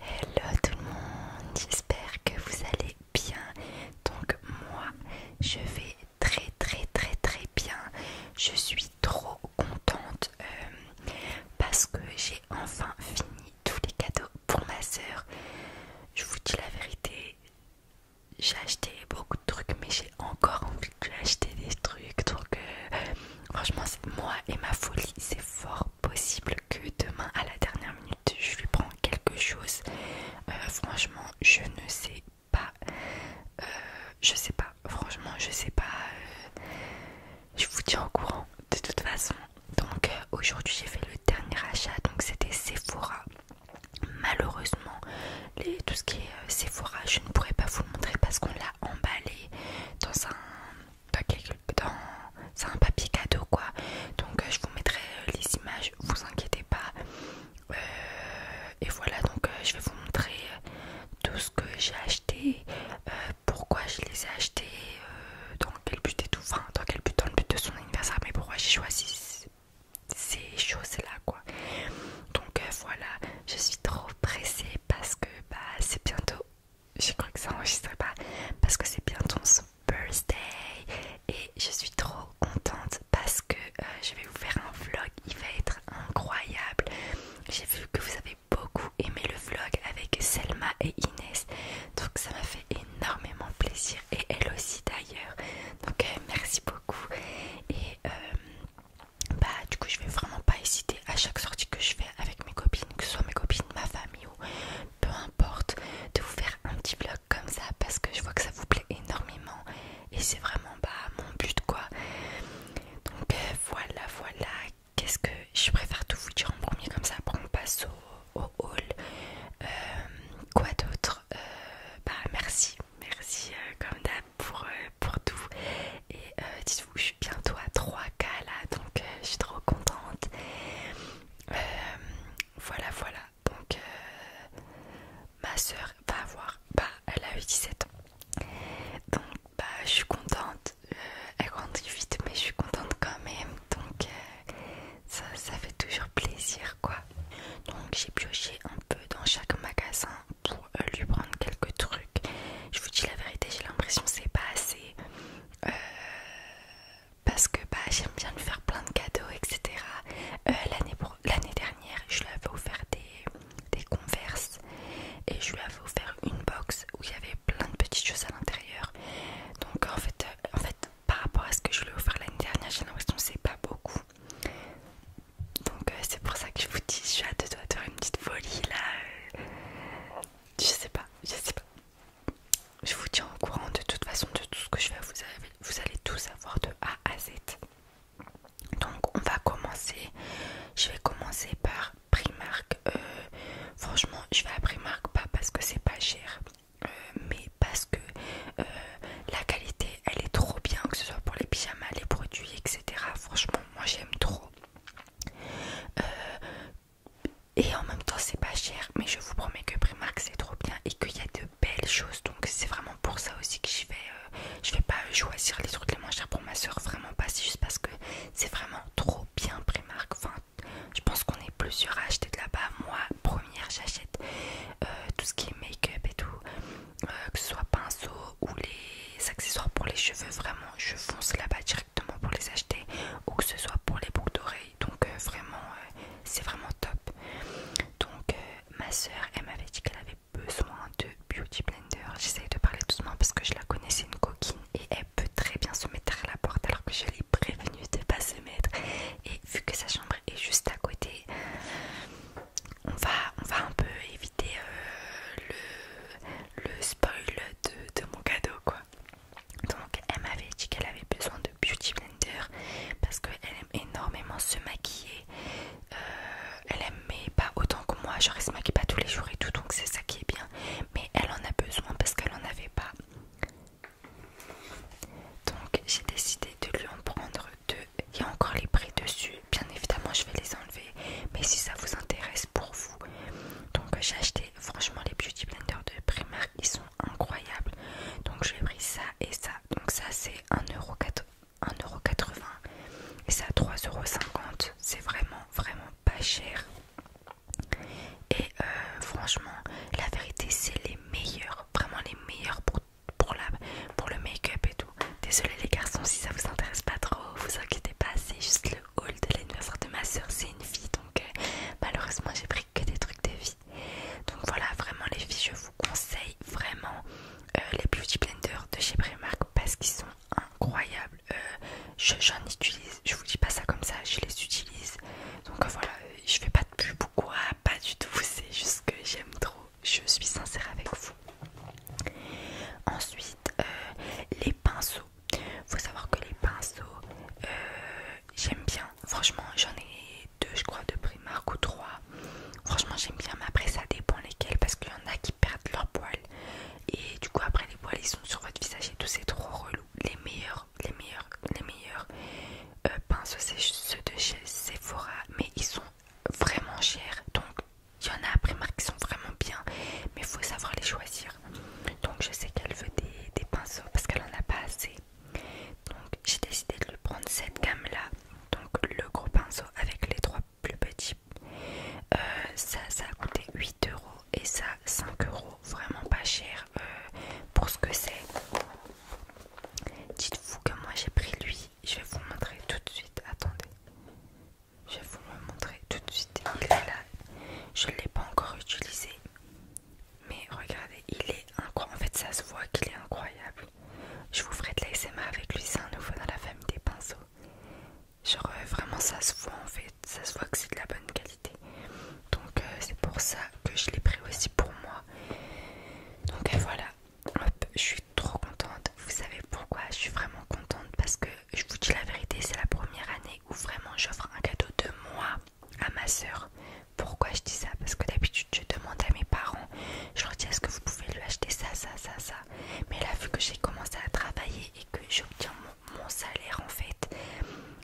Hello tout le monde, j'espère que vous allez bien. Donc moi, je vais très très très très bien. Je suis trop contente euh, parce que j'ai enfin fini tous les cadeaux pour ma soeur. Je vous dis la vérité, j'ai acheté beaucoup de trucs mais j'ai encore envie d'acheter des trucs. Donc euh, franchement, moi et ma folie, c'est fort possible que demain à la dernière minute je lui prends quelque chose. Euh, franchement je ne sais pas. Euh, je sais pas. Franchement je sais pas. Euh, je vous tiens au courant de toute façon. Donc aujourd'hui j'ai fait le dernier achat. Donc c'était Sephora. Malheureusement tout ce qui est Sephora je ne pourrais pas vous le montrer parce qu'on l'a emballé dans un paquet dans c'est un papier cadeau quoi donc euh, je vous mettrai euh, les images vous inquiétez pas euh, et voilà donc je vais vous montrer tout ce que j'ai acheté pourquoi je les ai achetés dans quel but et tout dans quel but dans le but de son anniversaire mais pourquoi j'ai choisi ces choses là quoi donc voilà je suis trop pressée parce que bah, c'est bientôt je crois que ça n'enregistrait pas parce que c'est bientôt son birthday et je suis trop contente parce que euh, je vais vous faire un vlog, il va être incroyable. J'ai vu que vous avez beaucoup aimé le vlog avec Selma et Inès, donc ça m'a fait énormément plaisir et elle aussi d'ailleurs. Donc euh, merci beaucoup et euh, bah du coup je vais vraiment pas hésiter à chaque sortie que je fais avec mes copines, que ce soit mes copines, ma famille peu importe, de vous faire un petit vlog comme ça parce que je vois que ça vous plaît énormément et c'est vraiment pas bah, mon but quoi. Donc euh, voilà, voilà, qu'est-ce que je préfère tout vous dire en premier comme ça, Pour on passe au, haul. Euh, quoi d'autre euh, Bah merci, merci comme d'hab pour, pour tout et dites-vous, bientôt à 3K là, donc euh, je suis trop contente. Euh, voilà, voilà. Donc, euh, ma soeur va avoir, bah, elle a eu 17 ans. Donc, bah, je suis contente. elle grandit vite, mais je suis contente quand même. Donc, ça, ça fait toujours plaisir, quoi. Donc, j'ai pioché un peu dans chaque magasin pour lui prendre quelques trucs. Je vous dis la vérité, j'ai l'impression que c'est pas assez parce que bah, j'aime bien lui faire plein de cadeaux, etc. Euh, l'année dernière, je lui avais offert des, converses et je lui avais offert une box où il y avait plein de petites choses à l'intérieur. Donc en fait, euh, en fait, par rapport à ce que je lui ai offert l'année dernière, j'ai l'impression que c'est pas beaucoup. Donc euh, c'est pour ça que je vous dis, j'ai hâte de faire une petite folie là. je sais pas, je sais pas je vous tiens au courant de toute façon de tout ce que je vais Vous, vous allez tous avoir de A à Z. Donc on va commencer. Je vais commencer par Primark. Euh, franchement, je vais à Primark pas parce que c'est pas cher, euh, mais parce que euh, la qualité, elle est trop bien, que ce soit pour les pyjamas, les produits, etc. Franchement, moi j'aime trop et en même temps c'est pas cher mais je vous promets que Primark c'est trop bien et qu'il y a de belles choses donc c'est vraiment pour ça aussi que je vais euh, je vais pas choisir les trucs les moins chers pour ma soeur vraiment pas c'est juste parce que c'est vraiment trop bien Primark enfin je pense qu'on est plusieurs à acheter de là-bas moi première j'achète euh, tout ce qui est make-up et tout euh, que ce soit pinceau ou les accessoires pour les cheveux vraiment je fonce là-bas pour les acheter ou que ce soit pour les boucles d'oreilles donc euh, vraiment euh, c'est vraiment top donc euh, ma soeur elle m'avait dit qu'elle avait besoin de beauty blender j'essaye de parler doucement parce que je la connaissais une coquine et elle peut très bien se mettre à la porte alors que je l'ai prévenue de pas se mettre et vu que sa chambre est juste à côté on va, on va un peu éviter le, spoil de mon cadeau quoi donc elle m'avait dit qu'elle avait besoin de Beauty Blender parce qu'elle aime énormément se maquiller. Euh, elle aime pas autant que moi, Je ne se maquille pas tous les jours et tout, donc c'est ça qui est bien. Mais elle en a besoin parce qu'elle en avait pas. Donc j'ai décidé de lui en prendre deux. Il y a encore les prix dessus. Bien évidemment je vais les enlever. Mais si ça vous intéresse, pour vous. Donc euh, j'ai acheté franchement les beauty Blender de Primark, ils sont incroyables. Donc j'ai pris ça et ça. Donc ça c'est 1,80€ et ça 3,50€. C'est vraiment vraiment pas cher. Et euh, franchement la vérité c'est les meilleurs, vraiment les meilleurs pour, pour, la, pour le make-up et tout. Désolé les garçons si ça vous intéresse pas trop, vous inquiétez pas, c'est juste le old, de l'anniversaire de ma soeur, c'est une fille donc euh, malheureusement j'ai pris que des trucs de vie, Donc voilà, vraiment les filles, je vous conseille vraiment euh, les Beauty Blenders de chez Primark parce qu'ils sont incroyables. Euh, j'en utilise, je vous dis pas ça comme ça, je les utilise. Donc voilà, je fais pas de pub ou quoi, pas du tout, c'est juste que j'aime trop. Je suis sincère avec vous. Ensuite, les pinceaux faut savoir que les pinceaux, euh, j'aime bien. Franchement, j'en ai deux, je crois, de Primark ou trois. Franchement, j'aime bien, mais après, ça dépend lesquels parce qu'il y en a qui perdent leurs poils. Et du coup, après, les poils ils sont sur votre visage et tout, c'est trop relou. Les meilleurs, les meilleurs, les meilleurs euh, pinceaux, c'est ceux de chez Sephora, mais ils sont vraiment chers donc. Il y en a à Primark qui sont vraiment bien, mais faut savoir les choisir. Donc je sais qu'elle veut des, pinceaux parce qu'elle en a pas assez. Donc j'ai décidé de lui prendre cette gamme là. Donc le gros pinceau avec les trois plus petits. Euh, ça, ça a coûté 8 euros et ça 5 euros. Vraiment pas cher euh, pour ce que c'est. Dites-vous que moi j'ai pris lui. Je vais vous montrer tout de suite. Attendez. Je vais vous le montrer tout de suite. Il est là. Je ne l'ai pas encore utilisé. Mais regardez, il est incroyable. En fait, ça se voit qu'il est incroyable. Je vous ferai de l'ASMA avec lui, c'est un nouveau dans la famille des pinceaux. Genre, euh, vraiment, ça se voit en fait. Ça se voit que c'est de la bonne qualité. Donc, euh, c'est pour ça que je l'ai pris aussi pour moi. Donc, euh, voilà. je suis trop contente. Vous savez pourquoi je suis vraiment contente Parce que je vous dis la vérité, c'est la première année où vraiment j'offre un cadeau de moi à ma soeur. Pourquoi je dis ça Parce que d'habitude je demande à mes parents, je leur dis est-ce que vous pouvez lui acheter ça, ça, ça, ça. Mais là vu que j'ai commencé à travailler et que j'obtiens mon, salaire en fait,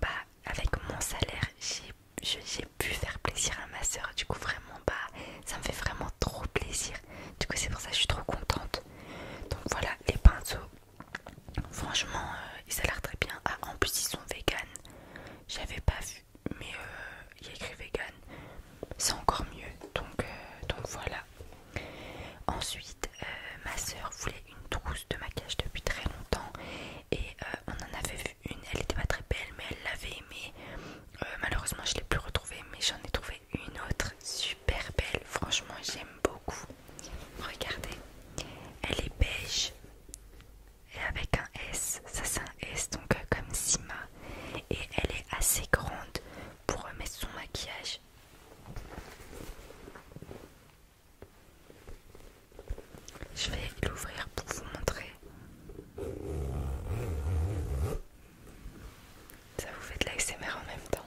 bah avec mon salaire j'ai pu faire plaisir à ma soeur. Du coup vraiment bah ça me fait vraiment trop plaisir. Du coup c'est pour ça que je suis trop contente. Donc voilà les pinceaux Franchement, ils euh, ça a l'air très bien. Ah, en plus, ils sont vegan. J'avais pas vu, mais euh, il y écrit vegan. C'est encore mieux. Donc, euh, donc voilà. Ensuite, ma soeur voulait une trousse de maquillage depuis très longtemps. Et on en avait vu une. Elle était pas très belle, mais elle l'avait aimée. malheureusement, je l'ai plus retrouvée, mais j'en ai trouvé une autre super belle. Franchement, j'aime beaucoup. Regardez, elle est beige et avec un S, ça c'est un S donc euh, comme Sima et elle est assez grande pour remettre son maquillage. Je vais l'ouvrir pour vous montrer. Ça vous fait de l'ASMR en même temps.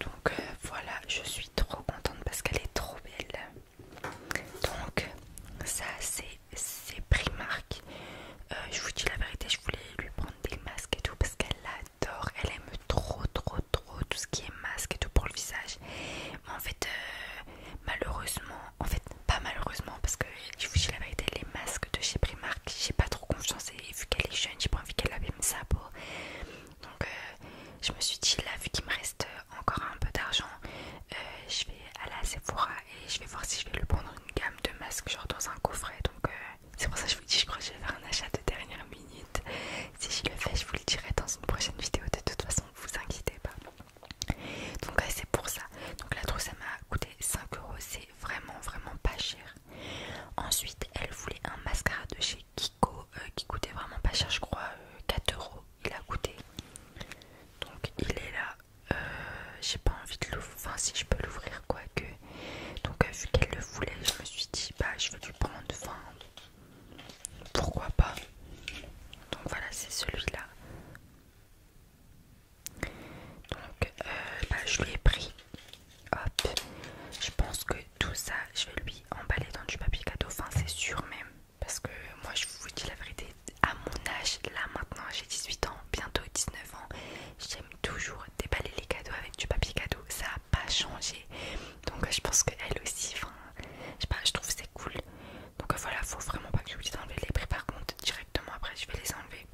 Donc euh, voilà, je suis trop contente parce qu'elle est trop belle. Donc ça c'est Primark. Euh, je vous dis la vérité, je voulais lui prendre des masques et tout parce qu'elle adore. Elle aime trop trop trop tout ce qui est masque et tout pour le visage. Mais en fait, euh, malheureusement, en fait pas malheureusement parce que je vous dis la vérité, les masques de chez Primark, j'ai pas trop confiance et vu qu'elle est jeune, j'ai pas envie qu'elle l'abîme ça peau. Donc euh, je me suis dit là vu qu'il me reste encore un peu d'argent, euh, je vais aller à Sephora et je vais voir si je vais le prendre une gamme de masques genre dans un coffret. Donc euh, c'est pour ça que je vous dis je crois que je vais faire un achat de dernière minute. Si je le fais je vous le dirai dans une prochaine vidéo de toute façon, vous inquiétez pas. Donc c'est pour ça. Donc la trousse ça m'a coûté 5 euros, c'est vraiment vraiment pas cher. Ensuite elle voulait un mascara de chez euh, qui coûtait vraiment pas cher, je crois 4 euh, euros. Il a coûté donc il est là. Euh, j'ai pas envie de l'ouvrir, enfin, si je peux l'ouvrir, quoique. Donc, vu qu'elle le voulait, je me suis dit, bah, je vais lui prendre enfin pourquoi pas. Donc, voilà, c'est celui-là. Donc, bah, je lui ai pris Hop, je pense que tout ça, je vais lui emballer dans du papier cadeau, enfin c'est sûr même. Parce que moi je vous dis la vérité, à mon âge, là maintenant j'ai 18 ans, bientôt 19 ans, j'aime toujours déballer les cadeaux avec du papier cadeau, ça a pas changé. Donc je pense que elle aussi, je pas, trouve c'est cool. Donc voilà, faut vraiment pas que je dise d'enlever les prix par contre, directement après je vais les enlever.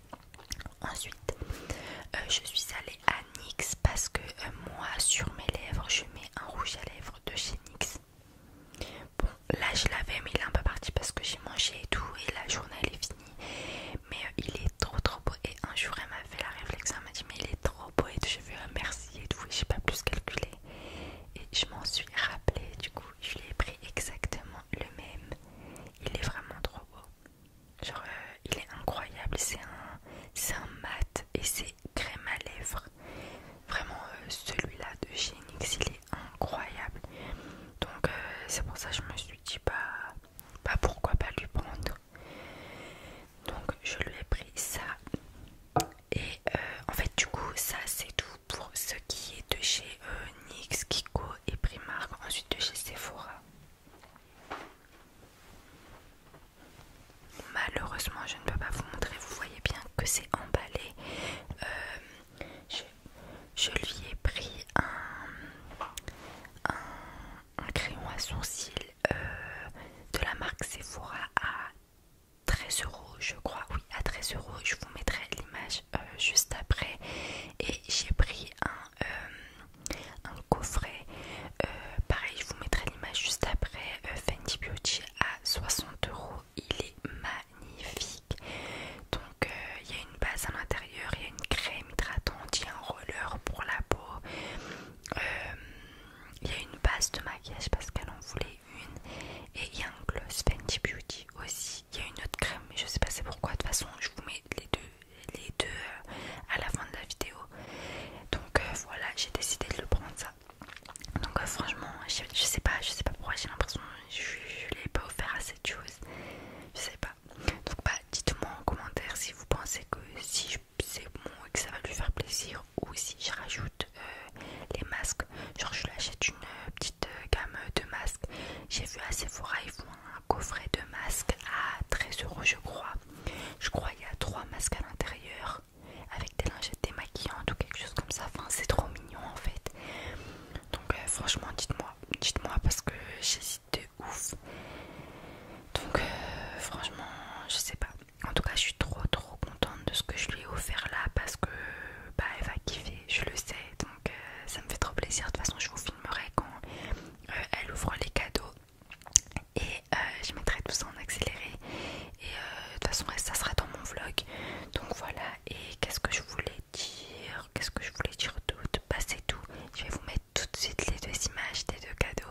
Ensuite, euh, je suis allée à NYX parce que euh, moi sur mes lèvres je mets un rouge à lèvres de chez NYX. Bon là je l'avais mais il est un peu parti parce que j'ai mangé et tout et la journée elle est finie. Mais euh, il est trop trop beau et un jour elle m'a fait la réflexion, elle m'a dit mais il est trop beau et j'ai vu un merci et tout et j'ai pas plus calculé. Et je m'en suis rappelé du coup je l'ai pris exactement le même. Il est vraiment trop beau. Genre, euh, il est incroyable. C'est un, un mat et c'est crème à lèvres. Vraiment, euh, celui-là de chez NYX, il est incroyable. Donc, euh, c'est pour ça que je me suis dit, bah, bah, pourquoi pas lui prendre. Donc, je lui ai pris ça. Et en fait, du coup, ça c'est tout pour ce qui est de chez NYX, Kiko et Primark. Ensuite, de chez Sephora. Malheureusement, je ne peux pas vous montrer. Vous voyez bien que c'est emballé. Euh, je, lui ai pris un, crayon à sourcils euh, de la marque Sephora à 13 euros, je crois. Oui, à 13 euros. Je vous mettrai l'image euh, juste après. Et j'ai pris un, un coffret. Euh, pareil, je vous mettrai l'image juste après. Euh, Fenty Beauty à 60 euros. Il est magnifique. Donc euh, il y a une base à l'intérieur, il y a une crème hydratante, il y a un roller pour la peau. Il y a une base de maquillage parce qu'elle en voulait une. Et il y a un gloss Fenty Beauty aussi. Il y a une autre crème, mais je sais pas c'est pourquoi. De toute façon, je vous mets les deux les deux euh, à la fin de la vidéo. Donc euh, voilà, j'ai décidé de le prendre ça. Donc euh, franchement, je, sais pas, je sais pas pourquoi j'ai l'impression que je, l'ai pas offert à cette chose. Je sais pas. Donc bah dites-moi en commentaire si vous pensez que si c'est bon et que ça va lui faire plaisir ou si je rajoute les masques. Genre je l'achète une petite gamme de masques. J'ai vu à Sephora ils font un coffret de masques à 13 euros je crois. Je crois qu'il y a trois masques à l'intérieur avec des lingettes démaquillantes ou quelque chose comme ça. Enfin, c'est trop mignon en fait. Donc, euh, franchement, dites-moi, dites-moi parce que j'hésite de ouf. Donc, euh, franchement, je sais pas. En tout cas, je suis trop trop contente de ce que je lui ai offert là parce que bah, elle va kiffer, je le sais. Donc, euh, ça me fait trop plaisir. De toute façon, je vous filmerai quand elle ouvre les cadeaux et euh, je mettrai tout ça en accéléré et euh, de toute façon ça sera dans mon vlog donc voilà et qu'est-ce que je voulais dire qu'est-ce que je voulais dire tout bah tout je vais vous mettre tout de suite les deux images des deux cadeaux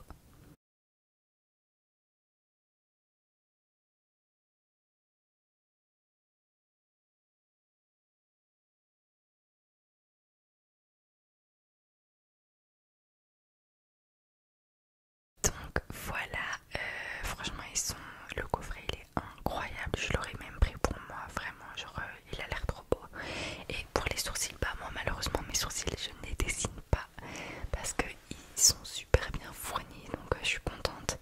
donc voilà, euh, franchement ils sont, le coffret il est incroyable, je l'aurais même pris pour moi, vraiment, genre euh, il a l'air trop beau. Et pour les sourcils, bah moi malheureusement mes sourcils je ne les dessine pas parce qu'ils sont super bien fournis, donc euh, je suis contente.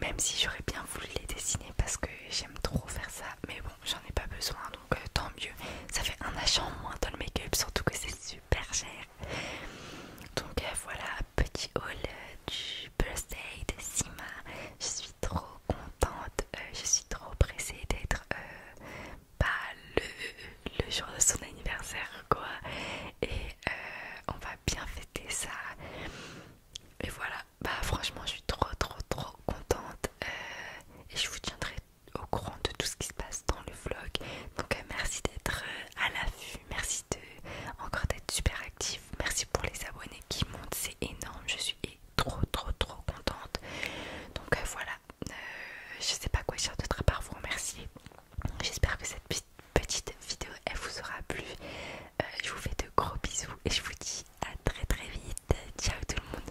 Même si j'aurais bien voulu les dessiner parce que j'aime trop faire ça, mais bon j'en ai pas besoin, donc tant mieux. Ça fait un achat en moins dans le make-up, surtout que c'est super cher. Donc euh, voilà, petit haul euh, du birthday de Sima. Je suis trop contente, euh, je suis trop pressée d'être pas bah, le, jour de son anniversaire quoi. Et on va bien fêter ça. Et voilà, bah franchement je suis trop trop trop contente et je vous tiendrai au courant de tout ce qui se passe dans le vlog. Donc euh, merci d'être euh, à la vue merci de encore d'être super actif, merci pour les abonnés qui montent, c'est énorme, je suis trop trop trop contente. Donc euh, voilà, je sais pas quoi dire d'autre à part vous remercier. J'espère que cette petite vidéo elle vous aura plu. je vous fais de gros bisous et je vous dis à très très vite. Ciao tout le monde.